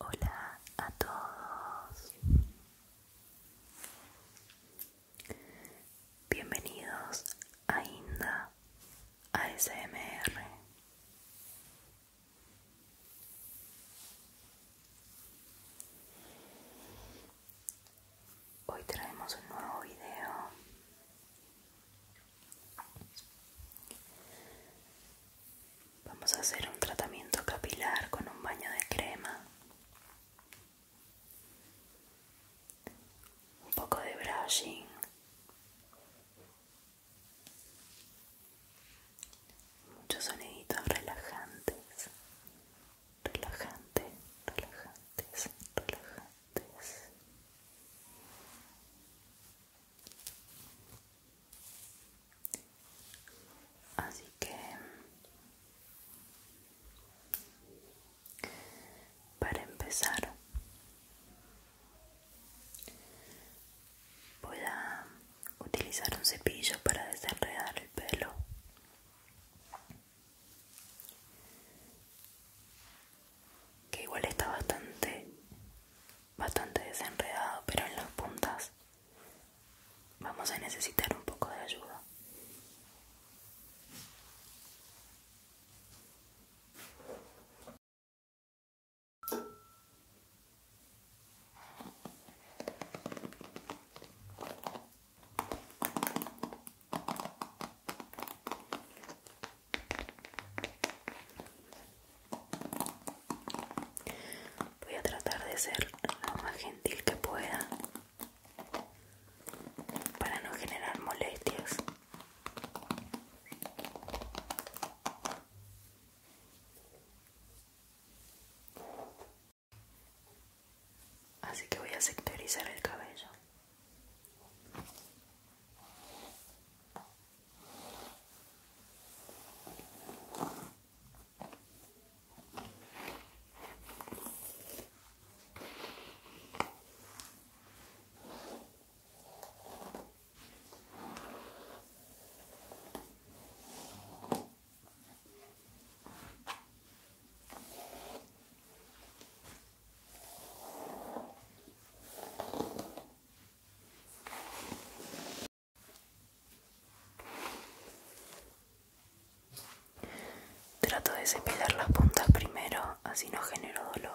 Hola a todos. Bienvenidos a Inda ASMR. Hoy traemos un nuevo video. Vamos a hacer un tratamiento capilar con un baño de crema. Un poco de brushing. Muchos soniditos relajantes relajante, relajantes, relajantes. Así que para empezar voy a utilizar un cepillo para desenredar el pelo que igual está bastante bastante desenredado pero en las puntas vamos a necesitar un poco de ayuda Voy a tratar de ser lo más gentil que pueda para no generar molestias. Así que voy a sectorizar el cabello. Trato de cepillar las puntas primero, así no genero dolor.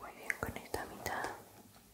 Muy bien con esta mitad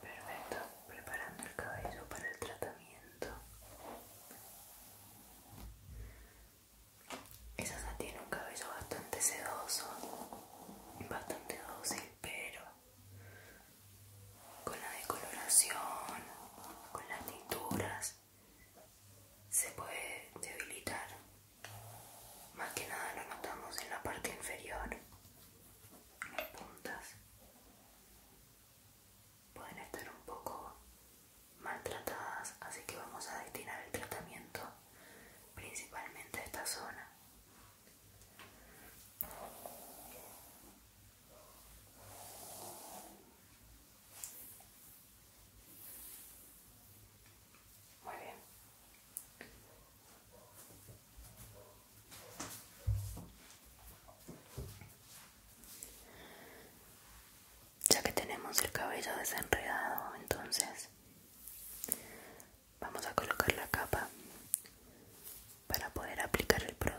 Perfecto, preparando el cabello para el tratamiento. Esa tiene un cabello bastante sedoso, bastante dócil, pero con la decoloración, con las tinturas, se puede debilitar. Más que nada lo notamos en la parte inferior, las puntas. Pueden estar un poco maltratadas, así que vamos a destinar el tratamiento principalmente a esta zona. Muy bien. Ya que tenemos el cabello desenredado, entonces Vamos a colocar la capa para poder aplicar el producto.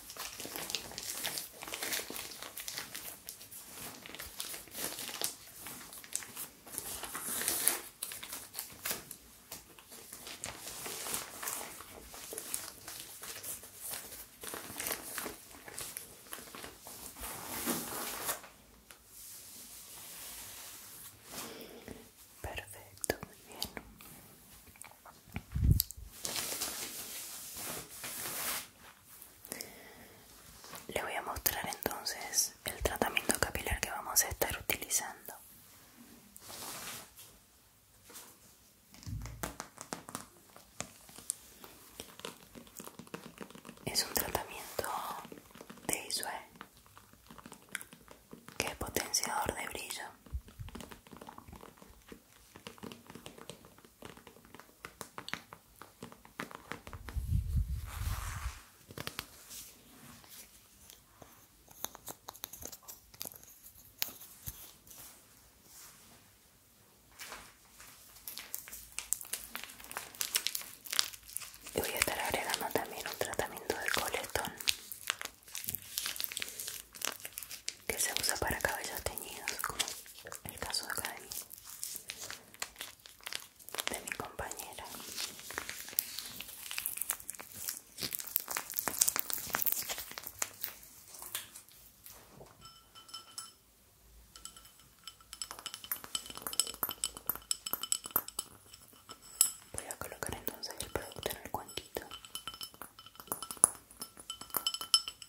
Perfecto, muy bien. Le voy a mostrar entonces el tratamiento capilar que vamos a estar utilizando. Es un tratamiento de Isue, que es potenciador de brillo. Y voy a estar agregando también un tratamiento de coletón que se usa para cabellos teñidos, como el caso de acá de mi compañera. Voy a colocar entonces el producto en el cuantito.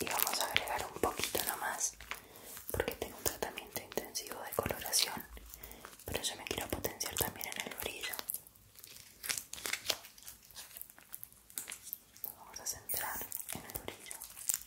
Y vamos a agregar un poquito nomás porque tengo un tratamiento intensivo de coloración, pero yo me quiero potenciar también en el orillo. vamos a centrar en el brillo.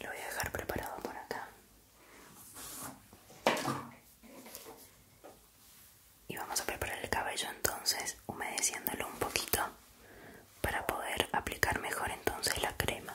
Lo voy a dejar preparado por acá. Y vamos a preparar el cabello entonces humedeciéndolo un poquito para poder aplicar mejor entonces la crema.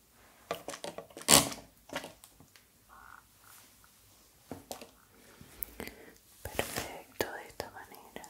Perfecto, de esta manera.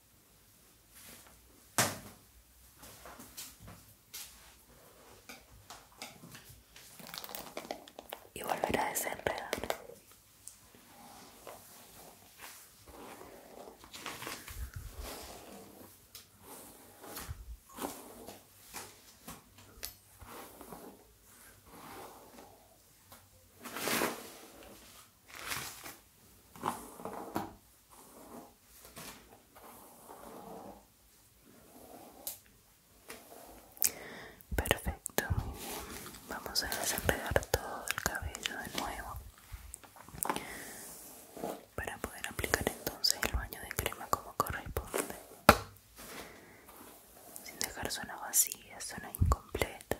y volverá a desenredar. Perfecto, muy bien. Vamos a desenredar todo el cabello de nuevo para poder aplicar entonces el baño de crema como corresponde, sin dejar zonas vacías, zonas incompletas.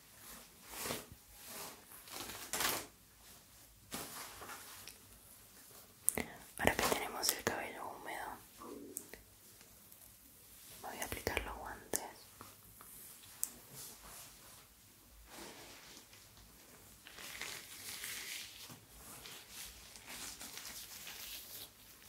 Ahora que tenemos el cabello húmedo, voy a aplicar los guantes.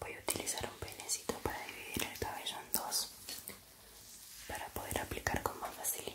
Voy a utilizar un penecito para dividir el cabello en dos para poder aplicar con más facilidad.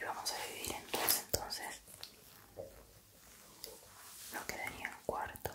Y vamos a dividir entonces entonces. Nos quedarían cuartos.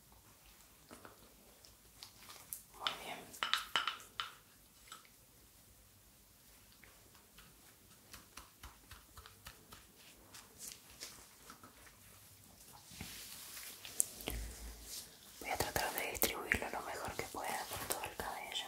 Muy bien. Voy a tratar de distribuirlo lo mejor que pueda por todo el cabello.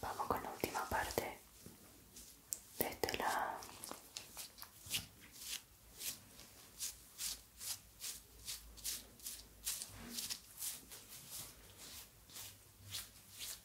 Vamos con la última parte de este la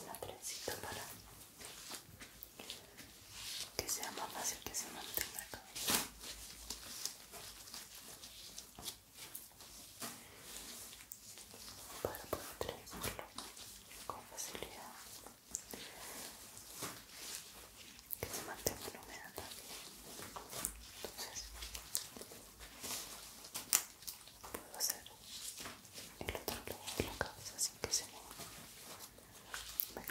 Una trencita para que sea más fácil que se mantenga para poder traerlo con facilidad que se mantenga la también entonces puedo hacer el otro lado de la cabeza sin que se mueva me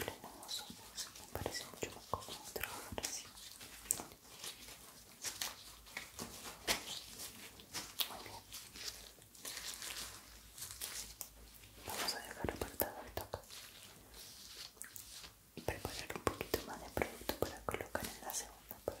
los me parece mucho más cómodo trabajar así. Muy bien. Vamos a dejar apartado esto acá y preparar un poquito más de producto para colocar en la segunda parte.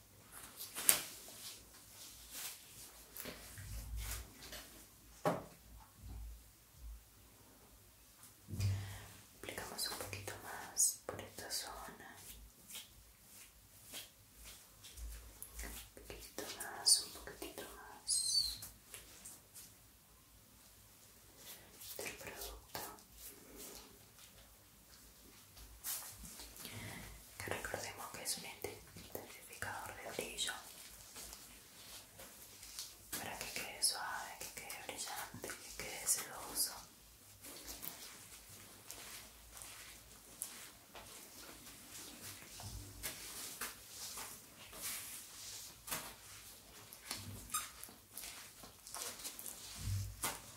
Aplicamos un poquito más por esta zona. Un poquito más, un poquitito más del producto que recordemos que es un intensificador de brillo para que quede suave, que quede brillante, que quede celoso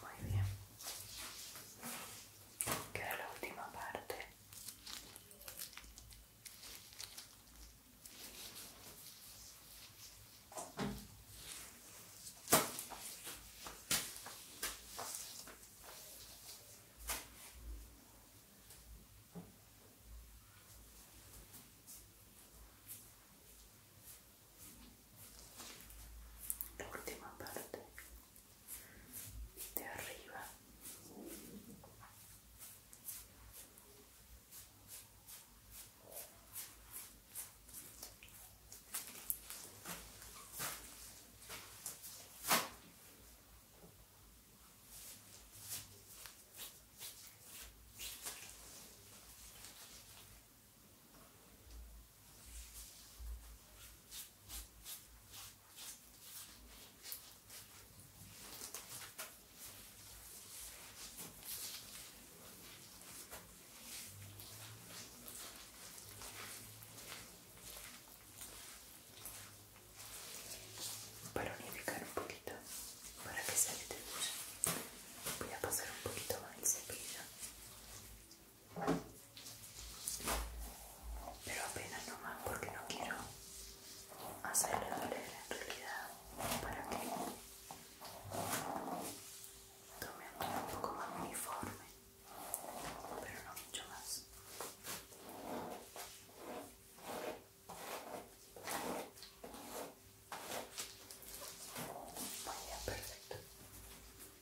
Muy bien es la última parte la última parte de arriba para unificar un poquito, para que de luz. Voy a pasar un poquito más el cepillo. Pero apenas nomás porque no quiero hacerle doler en realidad para que tome un poco más uniforme, pero no mucho más. Muy bien, perfecto.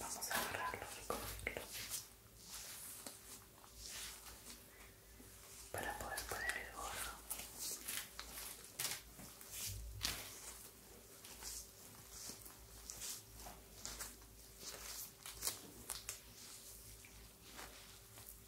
Vamos a agarrarlo y para poder poner el gorro.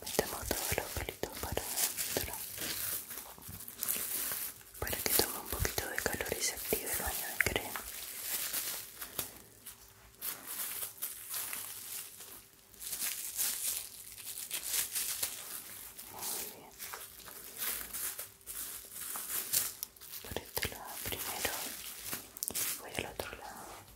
metemos todos los pelitos para adentro para que tome un poquito de calor y se active el baño de crema muy bien por este lado primero voy al otro lado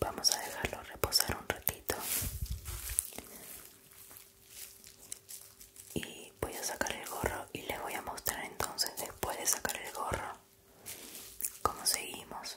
Vamos a dejarlo reposar un ratito y voy a sacar el gorro y les voy a mostrar entonces después de sacar el gorro cómo seguimos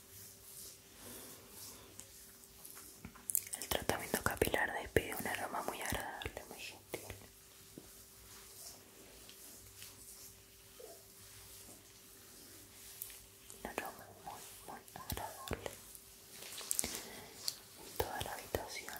El tratamiento capilar despide un aroma muy agradable, muy gentil. Un aroma muy, muy agradable en toda la habitación.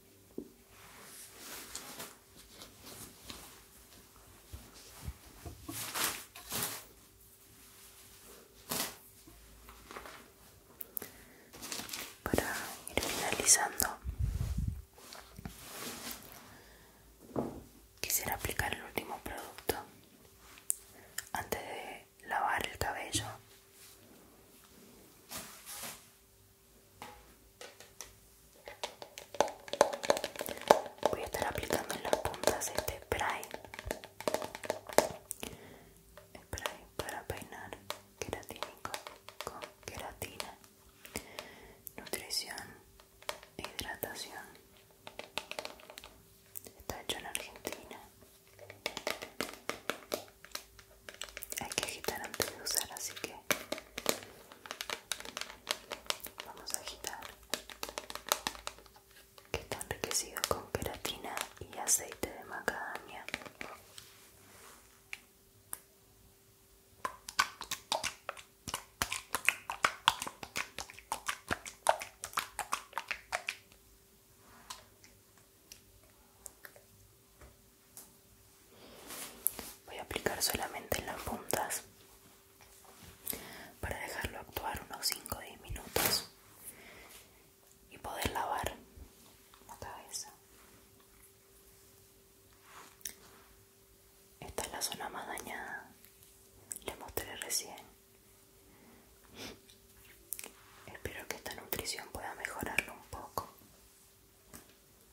Para ir finalizando, quisiera aplicar el último producto antes de lavar el cabello Voy a estar aplicando en las puntas este spray Spray para peinar queratínico con queratina Nutrición hidratación Está hecho en Argentina hay que agitar antes de usar así que vamos a agitar que está enriquecido con queratina y aceite de macadamia Voy a aplicar solamente en las puntas para dejarlo actuar unos 5 o 10 minutos y poder lavar la cabeza. Esta es la zona más dañada, les mostré recién. Espero que esta nutrición pueda mejorarlo un poco.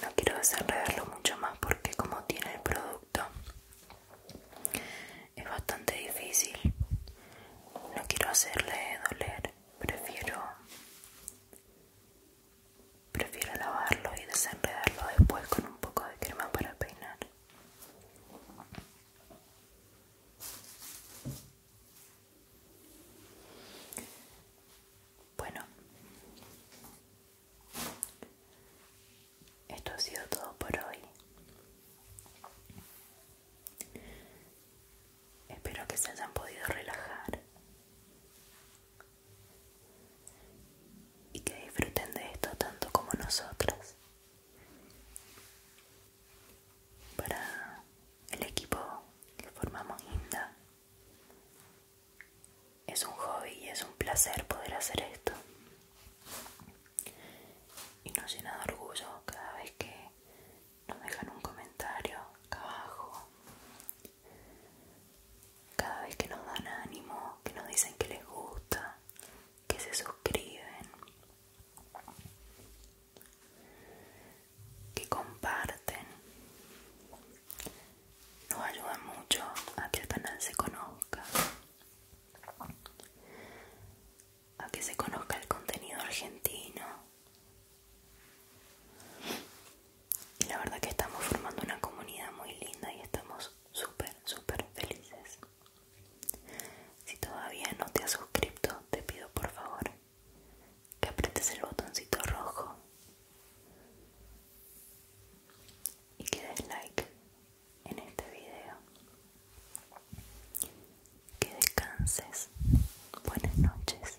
No quiero desenredarlo mucho más porque como tiene el producto es bastante difícil. No quiero hacerle doler, prefiero Prefiero lavarlo y desenredarlo después con un poco de crema para peinar. Bueno, esto ha sido todo por hoy. Espero que se hayan podido relajar y que disfruten de esto tanto como nosotras. Para el equipo que formamos Inda, es un hobby y es un placer poder hacer esto. Y nos llena de orgullo cada vez que nos dejan un comentario acá abajo cada vez que nos dan ánimo, que nos dicen que les gusta, que se suscriben, que comparten, nos ayuda mucho a que el canal se conozca, a que se conozca el contenido argentino y la verdad que estamos formando una comunidad muy linda y estamos súper, súper felices. Si todavía no te has suscrito, te pido por favor que aprietes el botoncito rojo y que des like en este video. Que descanses. Buenas noches.